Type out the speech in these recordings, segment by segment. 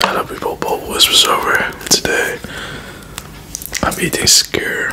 Hello people, Bob Whispers over today. I'm eating skewer.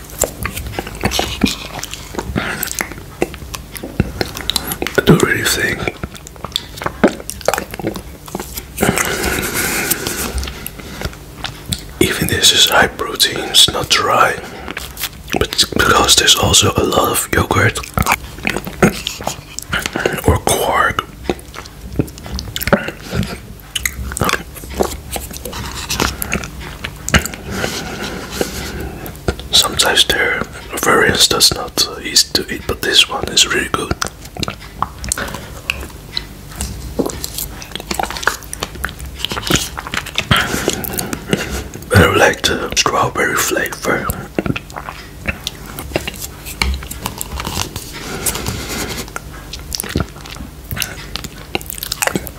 I don't really think even this is high protein, it's not dry, but because there's also a lot of yogurt or quark. Sometimes there are variants that's not uh, easy to eat, but this one is really good. I like the strawberry flavor.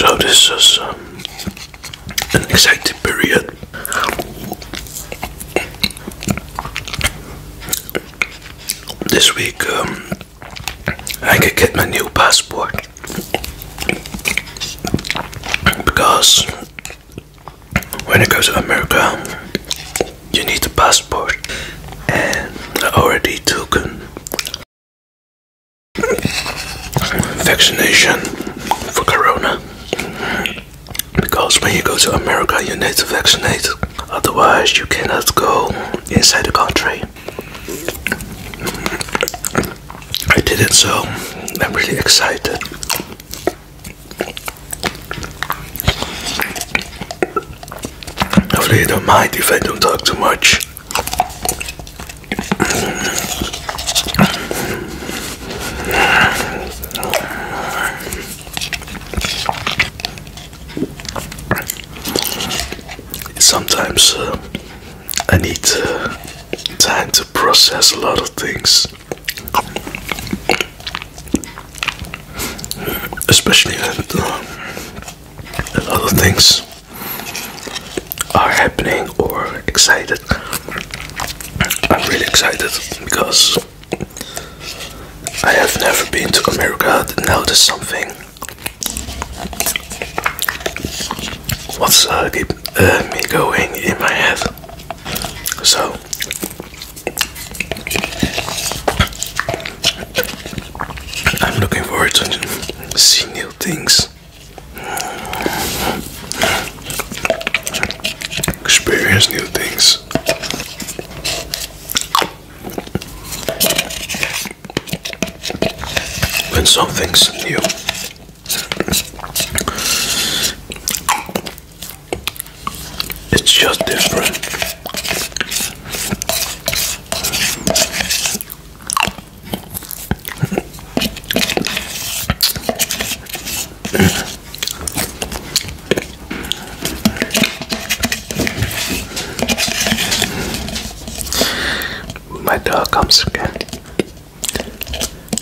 So this is um, an exciting period. This week um, I can get my new passport because when you go to America, you need a passport, and I already took vaccination for Corona. Because when you go to America, you need to vaccinate, otherwise, you cannot go inside the country. I did it, so I'm really excited. Hopefully you don't mind if I don't talk too much. Sometimes uh, I need uh, time to process a lot of things especially uh, when other things are happening or excited. I'm really excited because I have never been to America. Now there's something. What's uh, uh, me going in my head? So I'm looking forward to see new things, experience new things. When something's new, it's just different. My dog comes again.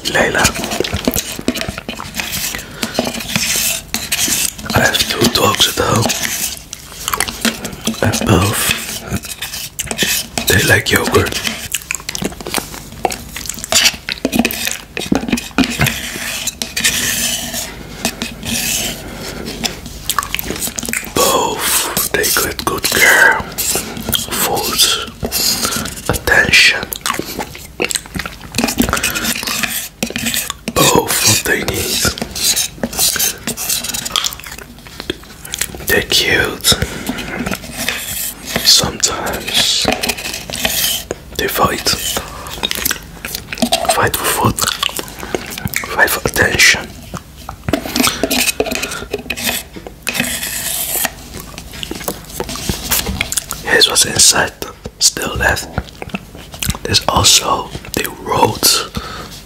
Layla. I have two dogs at home, both they like yogurt. Both they get good care, food, attention. Oh, what they need. They're cute. Sometimes they fight. Fight for food. Fight for attention. Here's what's inside still left. There's also they wrote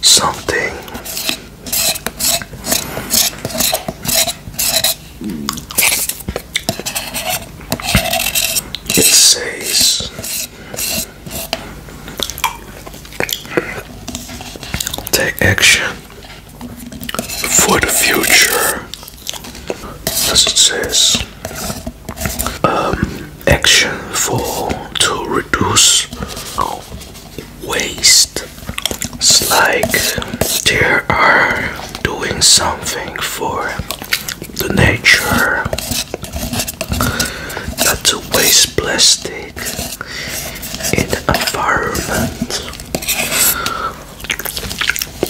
something. It says take action for the future. As it says, um, action for to reduce waste. It's like they are doing something for the nature, not to waste plastic in environment.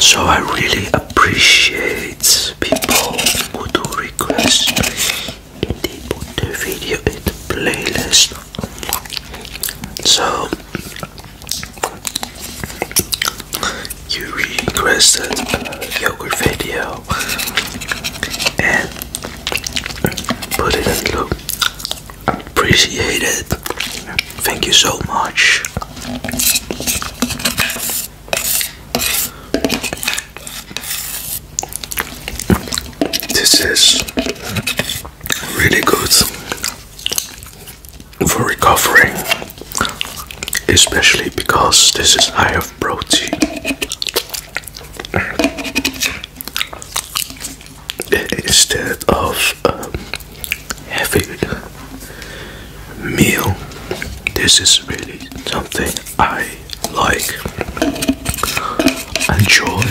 So I really appreciate people who do requests. and they put the video in the playlist. So you requested a yogurt video and put it in loop Appreciate it. Thank you so much. This is really good for recovering, especially because this is high of protein. Instead of um, heavy meal. This is really something I like, enjoy.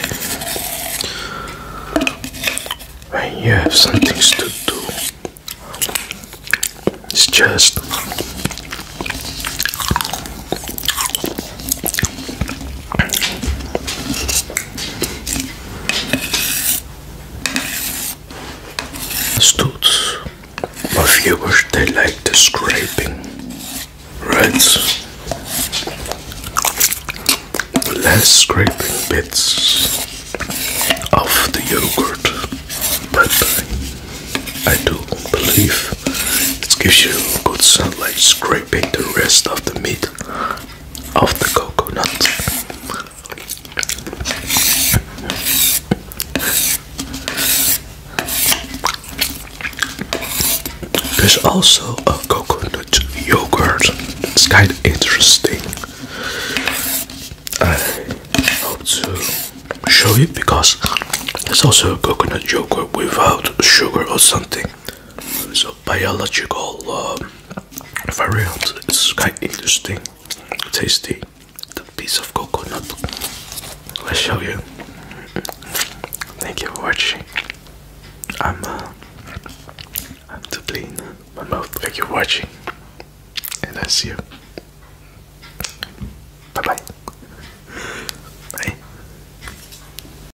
When you have some things to do, it's just Studs. My viewers, they like the scraping, right? Less scraping bits of the yogurt, but I do believe it gives you good sound like scraping the rest of the meat of the coconut. There's also a coconut yogurt. It's kind of interesting. I hope to show you because there's also a coconut yogurt without sugar or something. So biological uh, It's quite interesting, tasty. The piece of coconut. Let's show you. Thank you for watching. I'm uh, I'm to clean my mouth. Thank you for watching, and I see you. Bye bye. Bye.